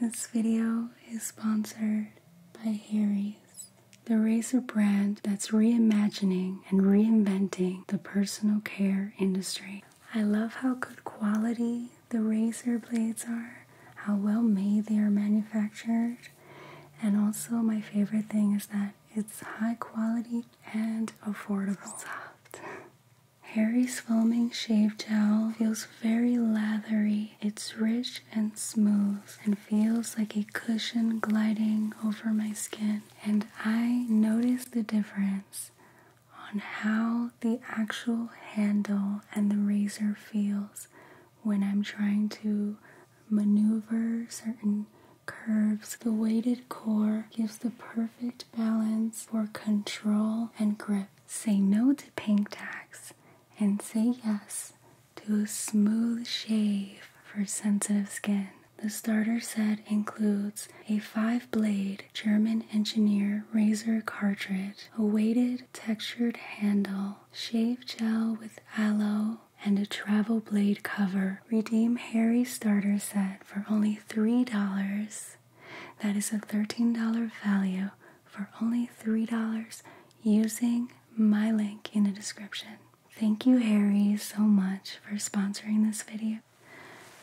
This video is sponsored by Harry's, the razor brand that's reimagining and reinventing the personal care industry. I love how good quality the razor blades are, how well made they are manufactured, and also my favorite thing is that it's high quality and affordable. Soft. Harry's foaming shave gel feels very lathery it's rich and smooth and feels like a cushion gliding over my skin. And I notice the difference on how the actual handle and the razor feels when I'm trying to maneuver certain curves. The weighted core gives the perfect balance for control and grip. Say no to pink tax and say yes to a smooth shave for sensitive skin. The starter set includes a five blade German engineer razor cartridge, a weighted textured handle, shave gel with aloe, and a travel blade cover. Redeem Harry's starter set for only $3. That is a $13 value for only $3 using my link in the description. Thank you, Harry, so much for sponsoring this video.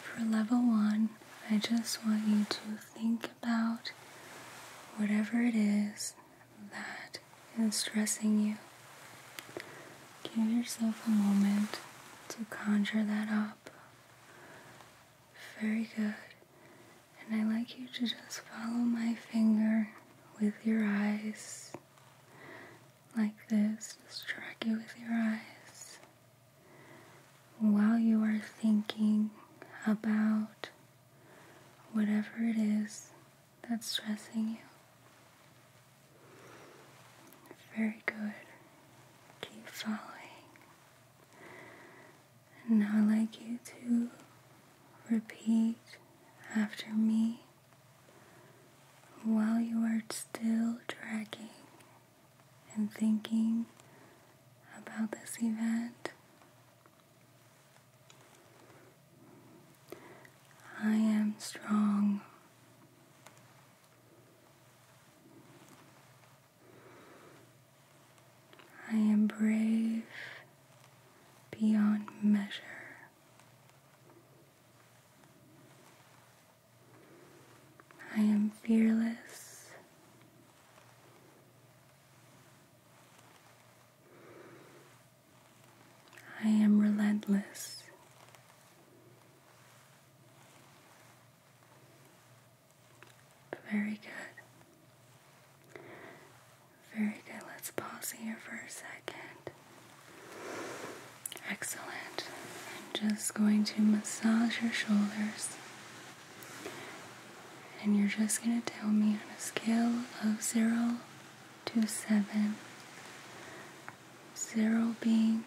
For level one, I just want you to think about whatever it is that is stressing you. Give yourself a moment to conjure that up. Very good. And I like you to just follow my finger with your eyes like this. Just track it with your eyes while you are thinking about whatever it is that's stressing you. Very good. Keep following. And now I'd like you to repeat after me while you are still dragging and thinking about this event. I am strong. I am brave beyond measure. I am fearless. I am relentless. Very good. Very good. Let's pause here for a second. Excellent. I'm just going to massage your shoulders. And you're just going to tell me on a scale of 0 to 7. 0 being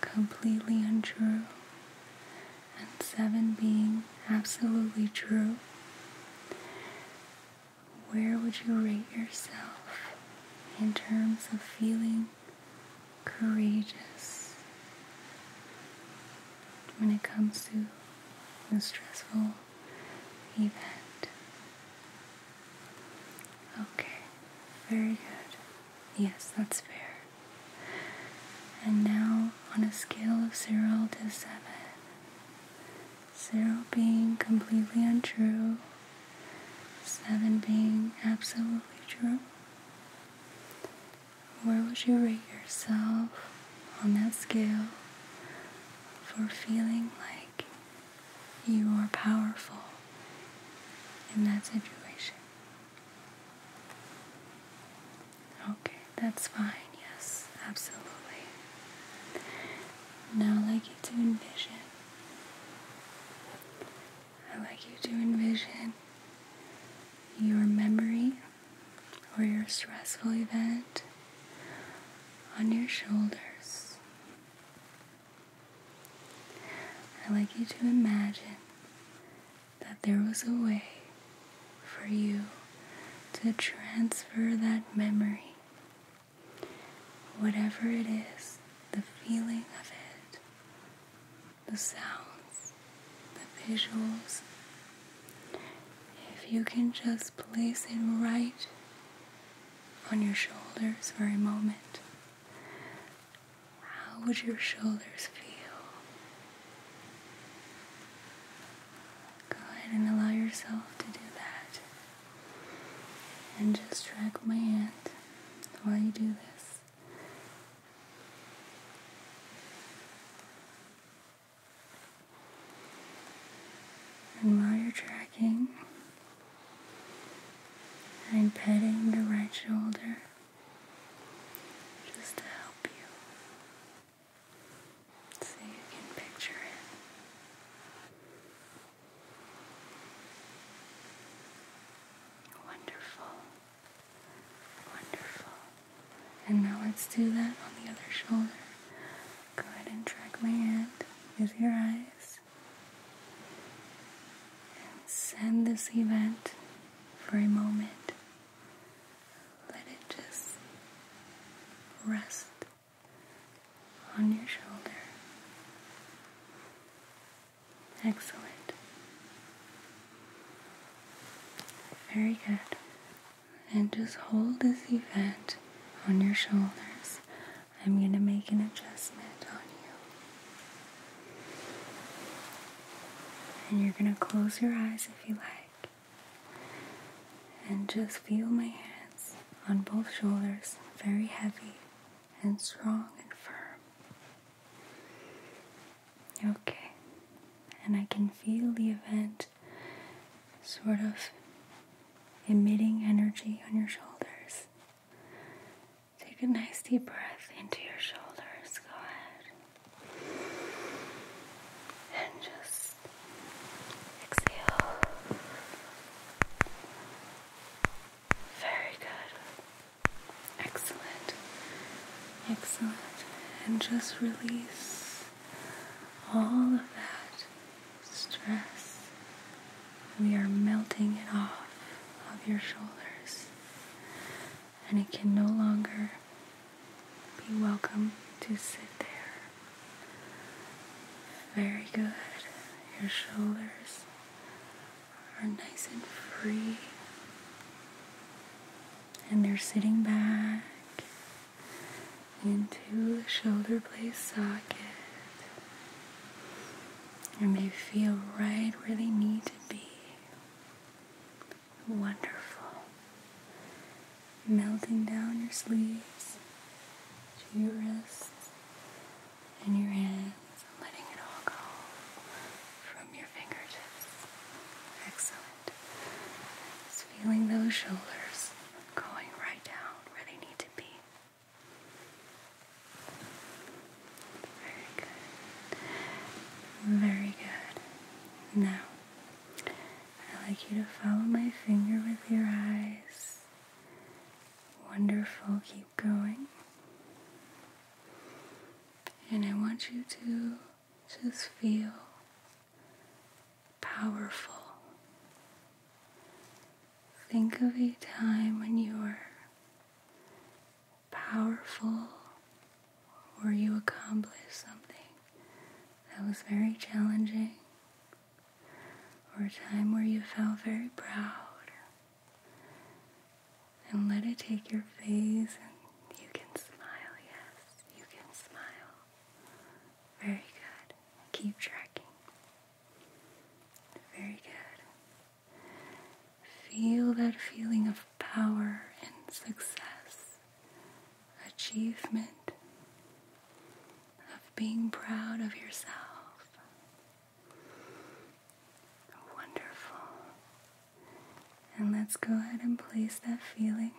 completely untrue, and seven being absolutely true, where would you rate yourself in terms of feeling courageous when it comes to a stressful event? Okay, very good. Yes, that's fair. And now, on a scale of 0 to 7, zero being completely untrue, seven being absolutely true. Where would you rate yourself on that scale for feeling like you are powerful in that situation? Okay, that's fine. Yes, absolutely. Now I'd like you to envision. I'd like you to envision your memory or your stressful event on your shoulders. I'd like you to imagine that there was a way for you to transfer that memory, whatever it is, the feeling of it, the sounds, the visuals. If you can just place it right on your shoulders for a moment, how would your shoulders feel? Go ahead and allow yourself to do that. And just drag my hand while you do this. And while you're dragging, I'm petting the right shoulder just to help you so you can picture it. Wonderful. Wonderful. And now let's do that on the other shoulder. Go ahead and track my hand with your eyes. And send this event for a moment let it just rest on your shoulder. Excellent. Very good. And just hold this event on your shoulders. I'm going to make an adjustment on you. And you're going to close your eyes if you like. And just feel my hands on both shoulders, very heavy and strong and firm. Okay, and I can feel the event sort of emitting energy on your shoulders. Take a nice deep breath into your shoulders. Go ahead. And just Exhale. Very good. Excellent. Excellent. And just release all of that stress. We are melting it off of your shoulders. And it can no longer be welcome to sit there. Very good. Your shoulders are nice and free. And they're sitting back into the shoulder blade socket. And they feel right where they need to be. Wonderful melting down your sleeves to your wrists and your hands, and letting it all go from your fingertips. Excellent. Just feeling those shoulders going right down where they need to be. Very good. Very good. Now, I like you to follow my finger with your eyes. Wonderful, keep going. And I want you to just feel powerful. Think of a time when you were powerful or you accomplished something that was very challenging or a time where you felt very proud. And let it take your face and you can smile, yes, you can smile. Very good. Keep tracking. Very good. Feel that feeling of power and success achievement of being proud of yourself. Wonderful. And let's go ahead and place that feeling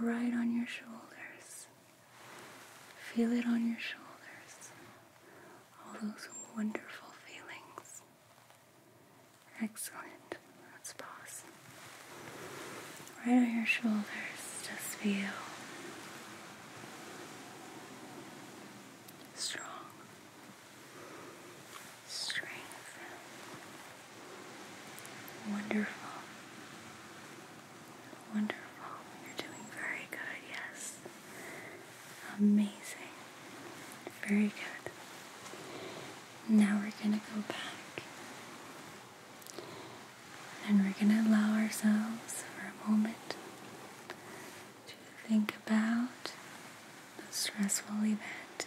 right on your shoulders. Feel it on your shoulders. All those wonderful feelings. Excellent. Let's pause. Right on your shoulders, just feel strong strength. Wonderful. Wonderful. You're doing very good, yes. Amazing. Very good. Now we're going to go back and we're going to allow ourselves for a moment to think about the stressful event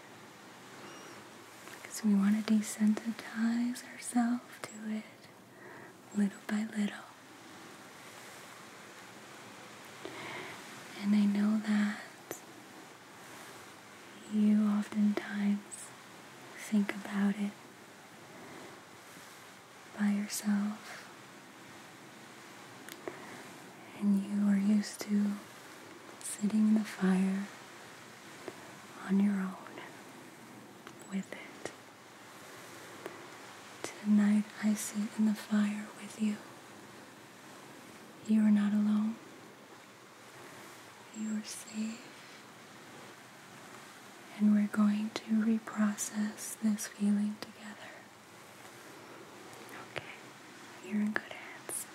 because we want to desensitize ourselves to it little by little. And I know that you oftentimes think about it by yourself and you are used to sitting in the fire on your own with it. Tonight I sit in the fire with you. You are not alone. You're safe. And we're going to reprocess this feeling together. Okay. You're in good hands.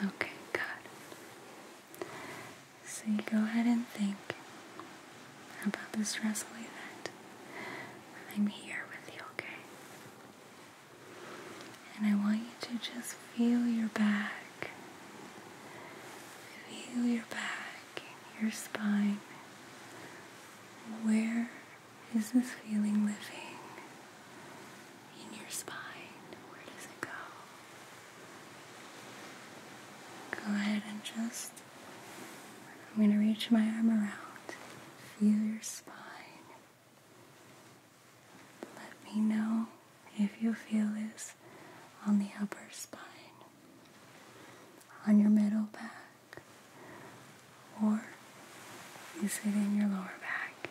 Yeah. Okay, good. So you go ahead and think about this stressful event. I'm here with you, okay? And I want you to just feel your back. Feel your back, your spine. Where is this feeling living? In your spine. Where does it go? Go ahead and just, I'm going to reach my arm around. Feel your spine. Let me know if you feel this on the upper spine, on your middle back, or is it in your lower back?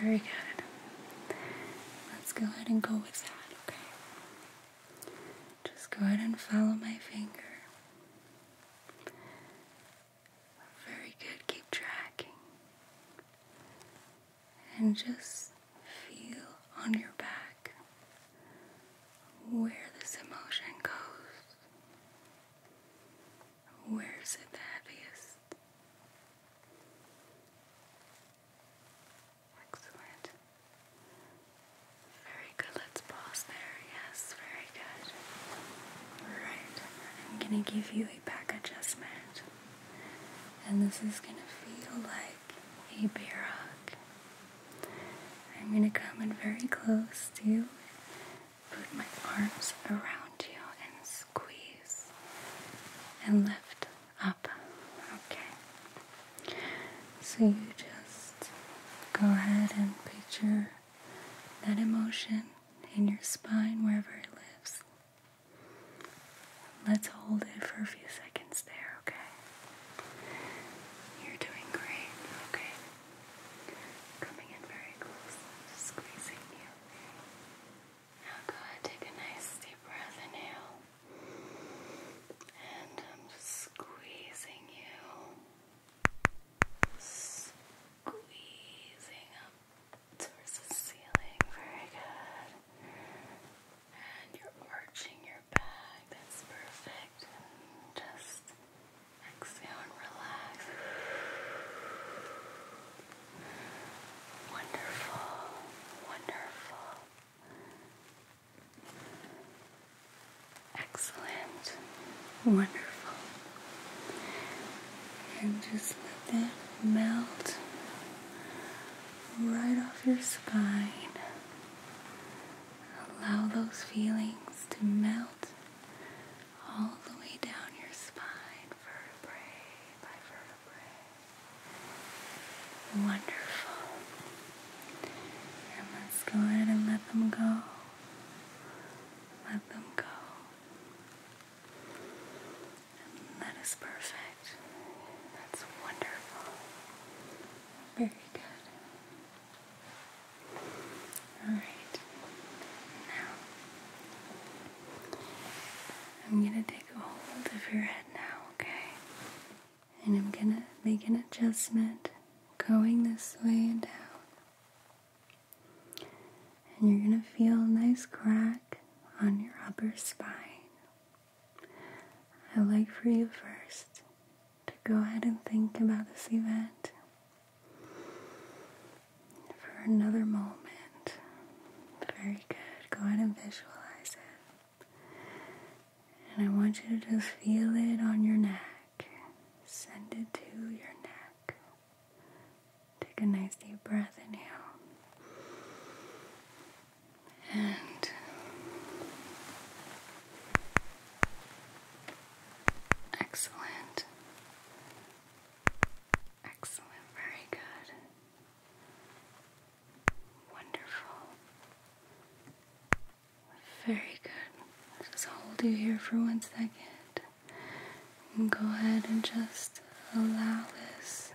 Very good. Let's go ahead and go with that, okay? Just go ahead and follow my finger. Very good. Keep tracking. And just feel on your back where this emotion goes. Where's it the heaviest? Excellent. Very good. Let's pause there. Yes, very good. All right. I'm going to give you back adjustment. And this is going to feel like a bear hug. I'm going to come in very close to you, put my arms around you, and squeeze and lift up. Okay. So you just go ahead and picture that emotion in your spine, wherever it lives. Let's hold it for a few seconds there, okay? You're doing great, okay? Coming in very close, squeezing you. Now go take a nice deep breath, inhale. And I'm just squeezing you squeezing up towards the ceiling. Very good. And you're arching your back. That's perfect. just exhale and relax. Wonderful. Wonderful. Excellent. Wonderful. And just let that melt right off your spine. Allow those feelings to melt all the way down your spine, vertebrae by vertebrae. Wonderful. And let's go ahead and let them go. Let them go. That is perfect. That's wonderful. Very good. All right. Now, I'm going to take a hold of your head now, okay? And I'm going to make an adjustment going this way and down. And you're going to feel a nice crack on your upper spine. I'd like for you first to go ahead and think about this event for another moment. Very good. Go ahead and visualize it. And I want you to just feel it on your neck. Send it to your neck. Take a nice deep breath, inhale. And excellent. Excellent, very good. Wonderful. Very good. just hold you here for one second go ahead and just allow this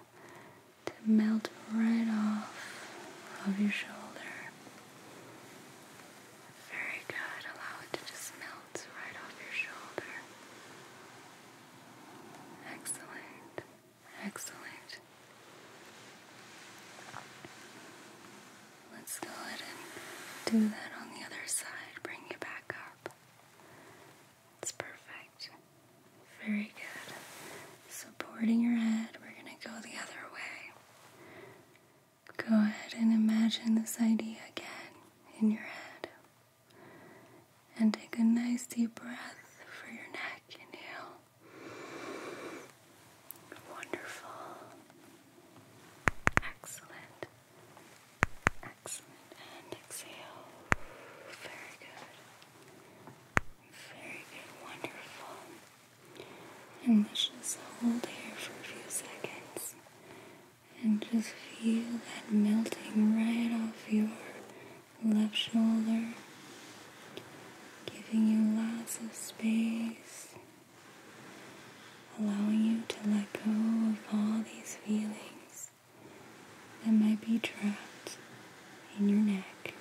to melt right off of your shoulder. Very good. Allow it to just melt right off your shoulder. Excellent. Excellent. Let's go ahead and do that on the other side. Bring you back up. It's perfect. Very good. Supporting your head, we're going to go the other way. Go ahead and imagine this idea again in your head. And take a nice deep breath for your neck. Inhale. Wonderful. Excellent. And exhale. Very good. Very good. Wonderful. And let's just hold here for a few seconds. And just feel that melting right off your left shoulder, giving you lots of space, allowing you to let go of all these feelings that might be trapped in your neck.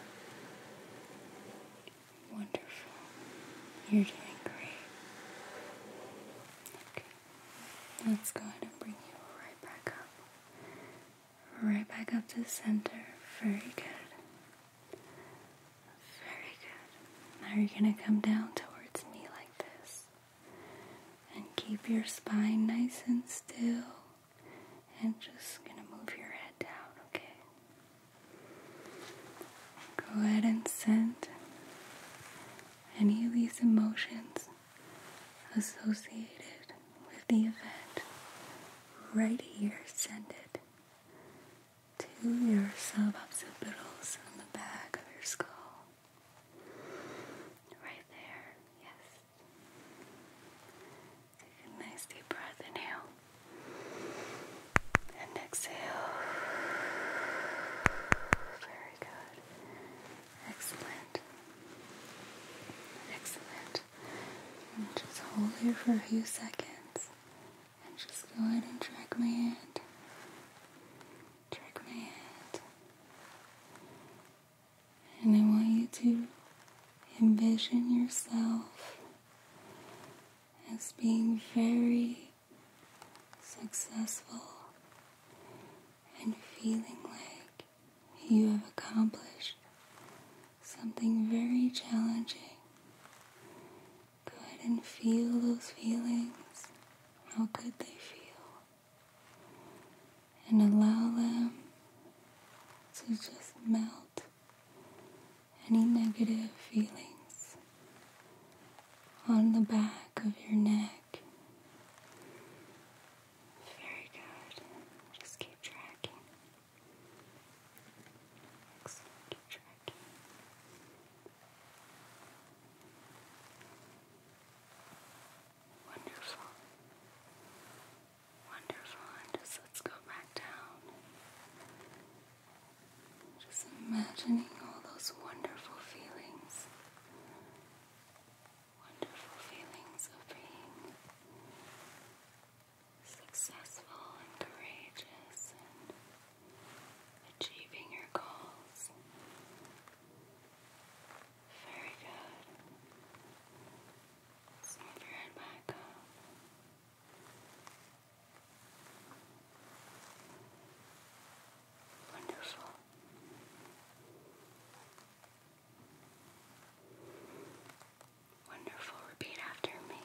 Wonderful. You're doing great. Okay. Let's bring you right back up. Right back up to center. Very good. Very good. Now you're going to come down towards me like this and keep your spine nice and still. And just gonna move your head down, okay? Go ahead and send any of these emotions associated with the event right here. Send it to your suboccipitals on the back of your skull. Right there, yes. Take a nice deep breath, inhale and exhale. Very good. Excellent. Excellent. just hold here for a few seconds. And just go ahead and drag my hand. Track my hand. And I want you to envision yourself as being very successful and feeling like you have accomplished something very challenging. Go ahead and feel those feelings. How good they feel and allow them to just melt any negative feelings on the back of your neck. Very good. Just keep tracking. Excellent. Keep tracking. Wonderful. Wonderful. just let's go back down. Just imagining all those wonderful feelings. Wonderful feelings of being successful and courageous and achieving your goals. Very good. move your head back Wonderful. Wonderful. Repeat after me.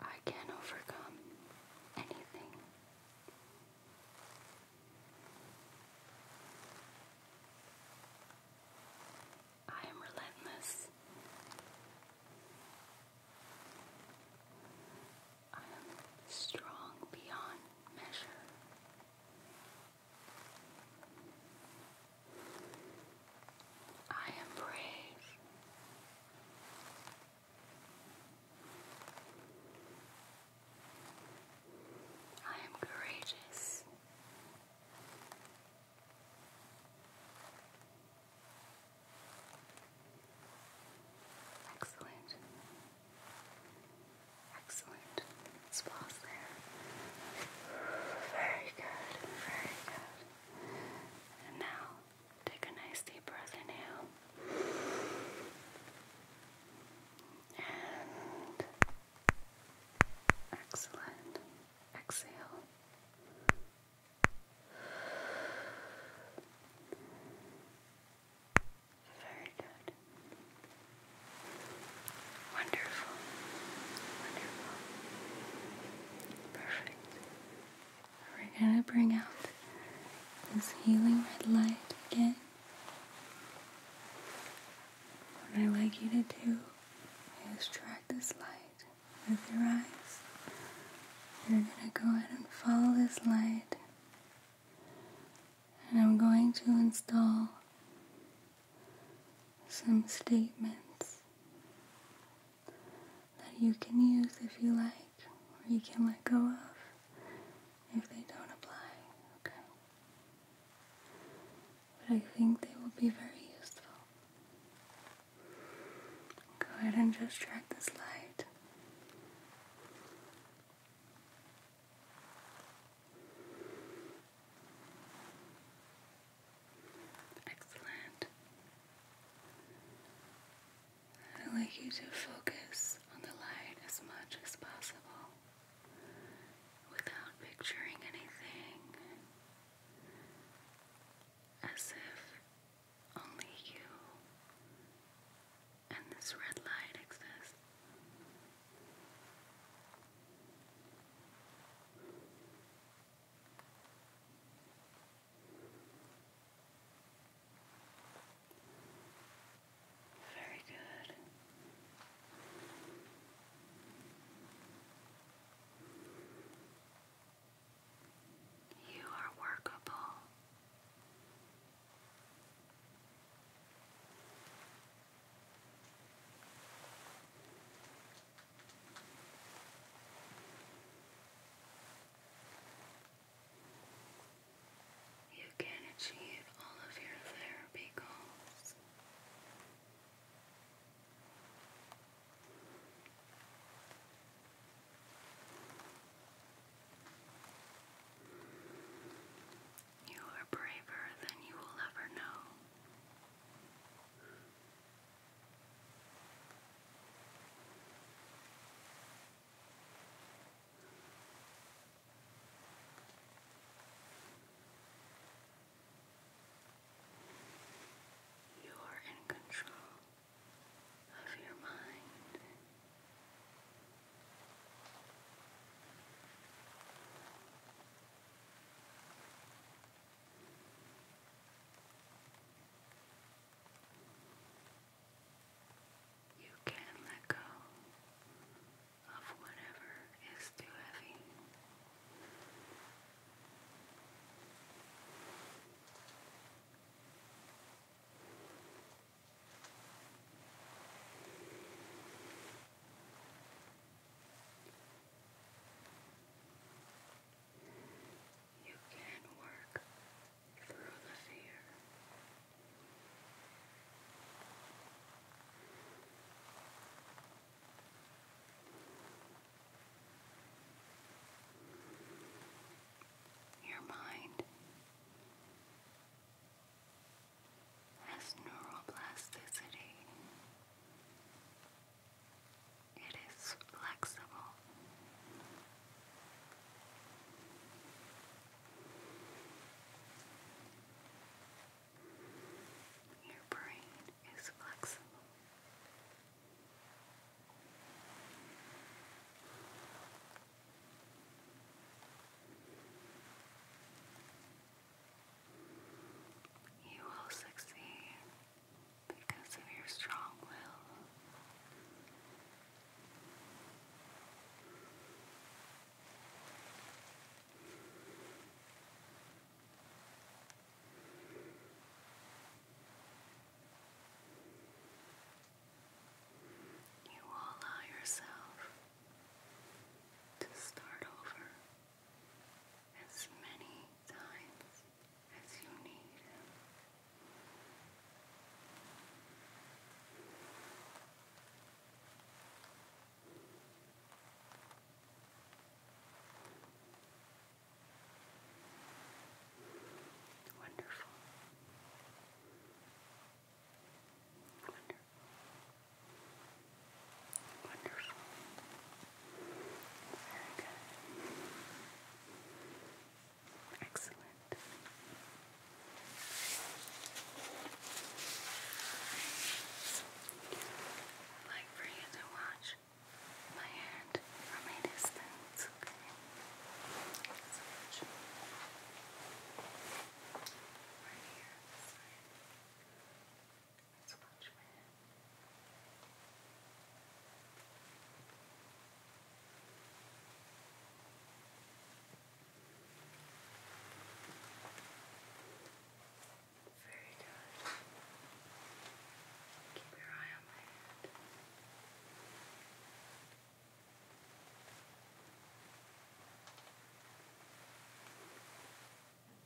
I can overcome anything. I am relentless. I am strong beyond measure. I am brave. I am courageous. Excellent. Excellent. let there. Very good. Very good. And now Take a nice deep breath, in. And excellent. Exhale. Very good. Wonderful. Wonderful. Perfect. We're gonna bring out this healing red light again. What I'd like you to do is track this light with your eyes. You're gonna go ahead and follow this light. And I'm going to install some statements that you can use if you like or you can let go of if they don't apply, okay? But I think they will be very useful. Go ahead and just drag this light. Excellent. I'd like you to focus on the light as much as possible without picturing anything as if only you and this red light exists. Very good. You are workable. You can achieve all of your therapy goals. You are braver than you will ever know. You are in control of your mind. You you can let go of whatever is too heavy. You can work your mind has neuroplasticity. It is flexible. Your brain is flexible. You will succeed because of your strong will you allow yourself to start over as many times as you need. Wonderful. Wonderful. Wonderful. Very good. Excellent i like for you to watch my hand from a distance, So watch. Right here, this side. my hand. Very good. Keep your eye on my head.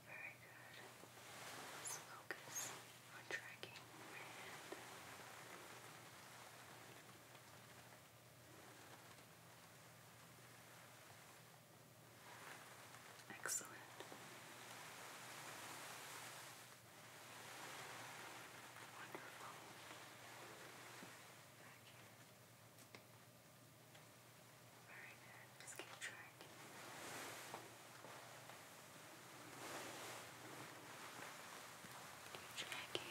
Very good. Let's focus on tracking my head. Very good. Excellent. Wonderful. Back here. Very good. Just keep track. Keep tracking.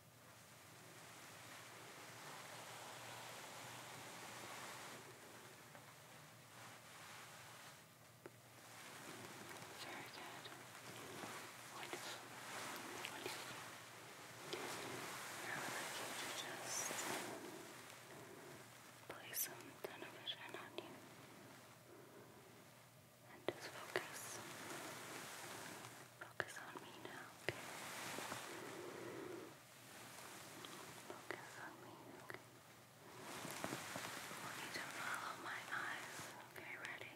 Very good. Wonderful. Wonderful. Now I'd like you to just place some kind of it on you. And just focus. Focus on me now, okay? Focus on me, okay? I want you to follow my eyes, okay? Ready?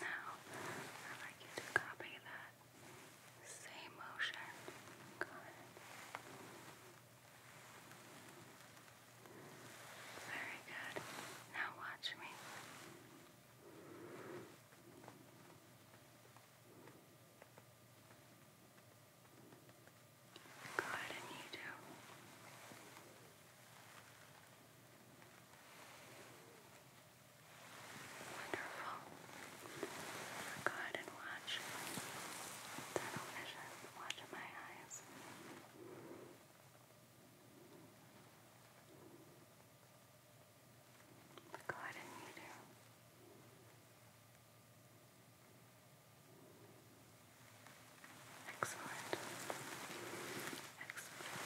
Now, i like you to copy that same motion. Very good. Now watch me. Good, and you do. Wonderful. Go ahead and watch. Watch my eyes. Go ahead and do. Excellent. Excellent.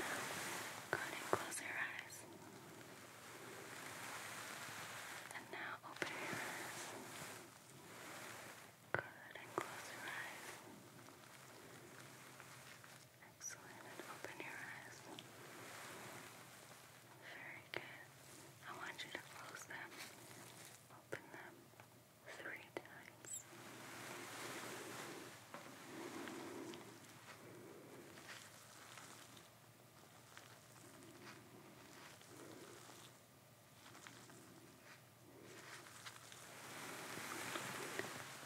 Go ahead and close your eyes. And now open your eyes. Good, and close your eyes. Excellent, and open your eyes. Very good. I want you to close them. Open them three times. Perfect.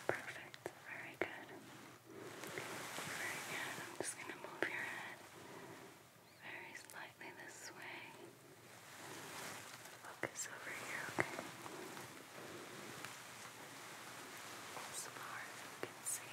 Very good. Very good. I'm just going to move your head very slightly this way. Focus over here, okay? As far as you can see.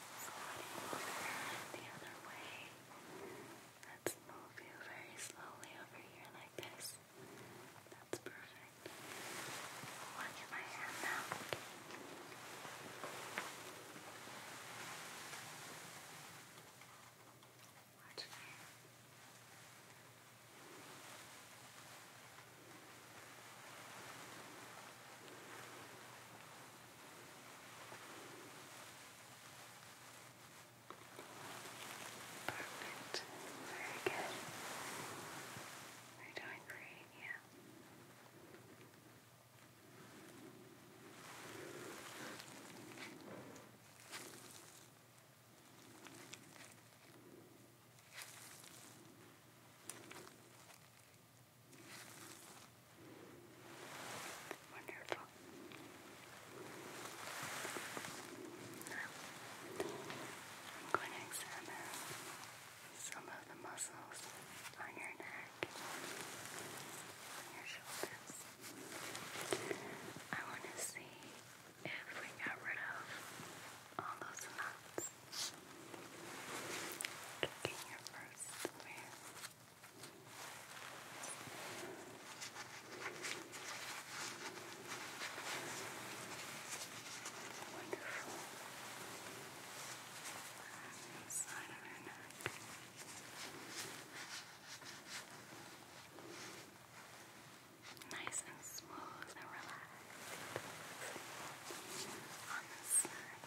floating the other way. Let's move you very slowly over here like this. That's perfect. Watch my hand now. Watch my hand. Good. Perfect. Very good. We're doing great, yeah. Good. Wonderful. Now, I'm going to examine some of the muscles on your neck, your shoulders. I want to see if we got rid of all those knots. Kicking your first with Wonderful. And the side of her neck. Nice and smooth and relaxed. On this side.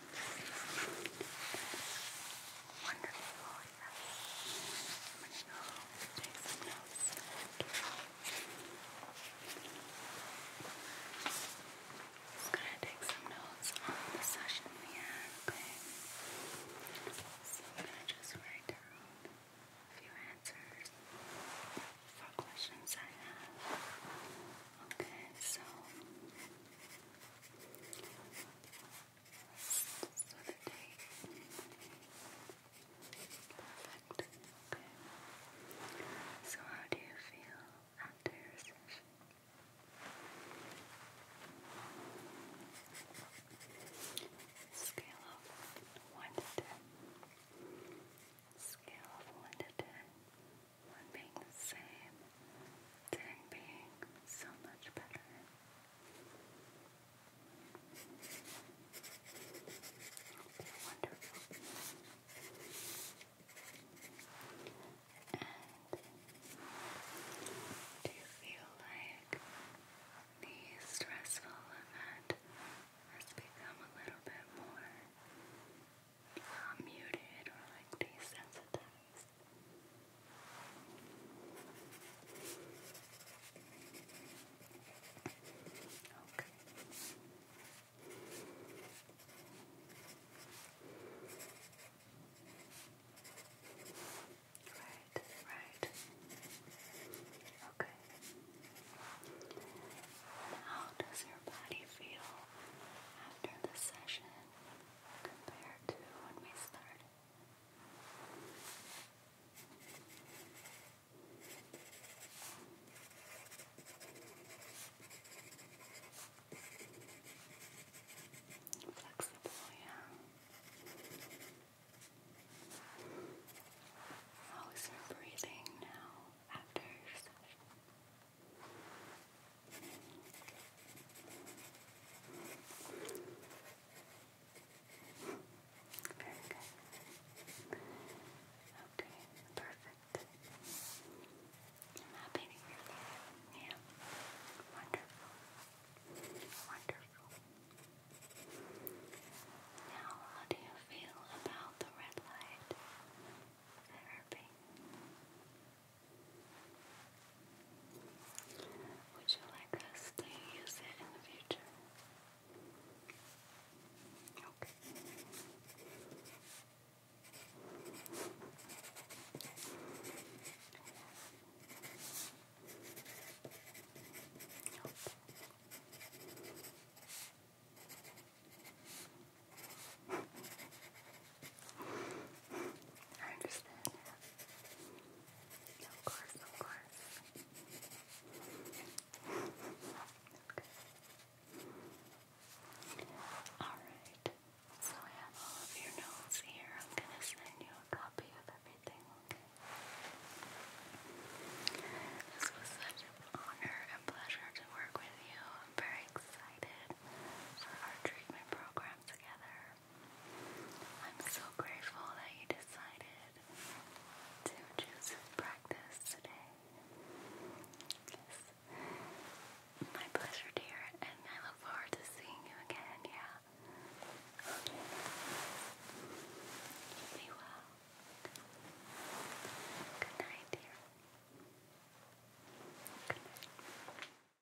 Wonderful, yes. Just going to take some notes on the session we had, So I'm going to just write down a few answers for questions I have. Okay, so Perfect. Okay. So how do you feel after your session? Scale of one to ten. Scale of one to ten when being the same, then being so much better. wonderful. do you feel like the stressful event has become a little bit more uh, muted or like desensitized? Okay. Right, right. Okay. How does your body feel after the session? compared to when we started. Flexible, yeah. How is your breathing now after your session? Very Okay, perfect. I'm happy to hear that. Yeah. Wonderful. Wonderful. Now, how do you feel about the red light therapy? Would you like us to use it in the future? I understand Of course, of course. Okay. Alright. So I have all of your notes here. I'm gonna send you a copy of everything, This was such an honor and pleasure to work with you. I'm very excited for our treatment program together. I'm so grateful that you decided to choose practice today. My pleasure, dear, and I look forward to seeing you again, yeah? be well. Good night, dear. Good night.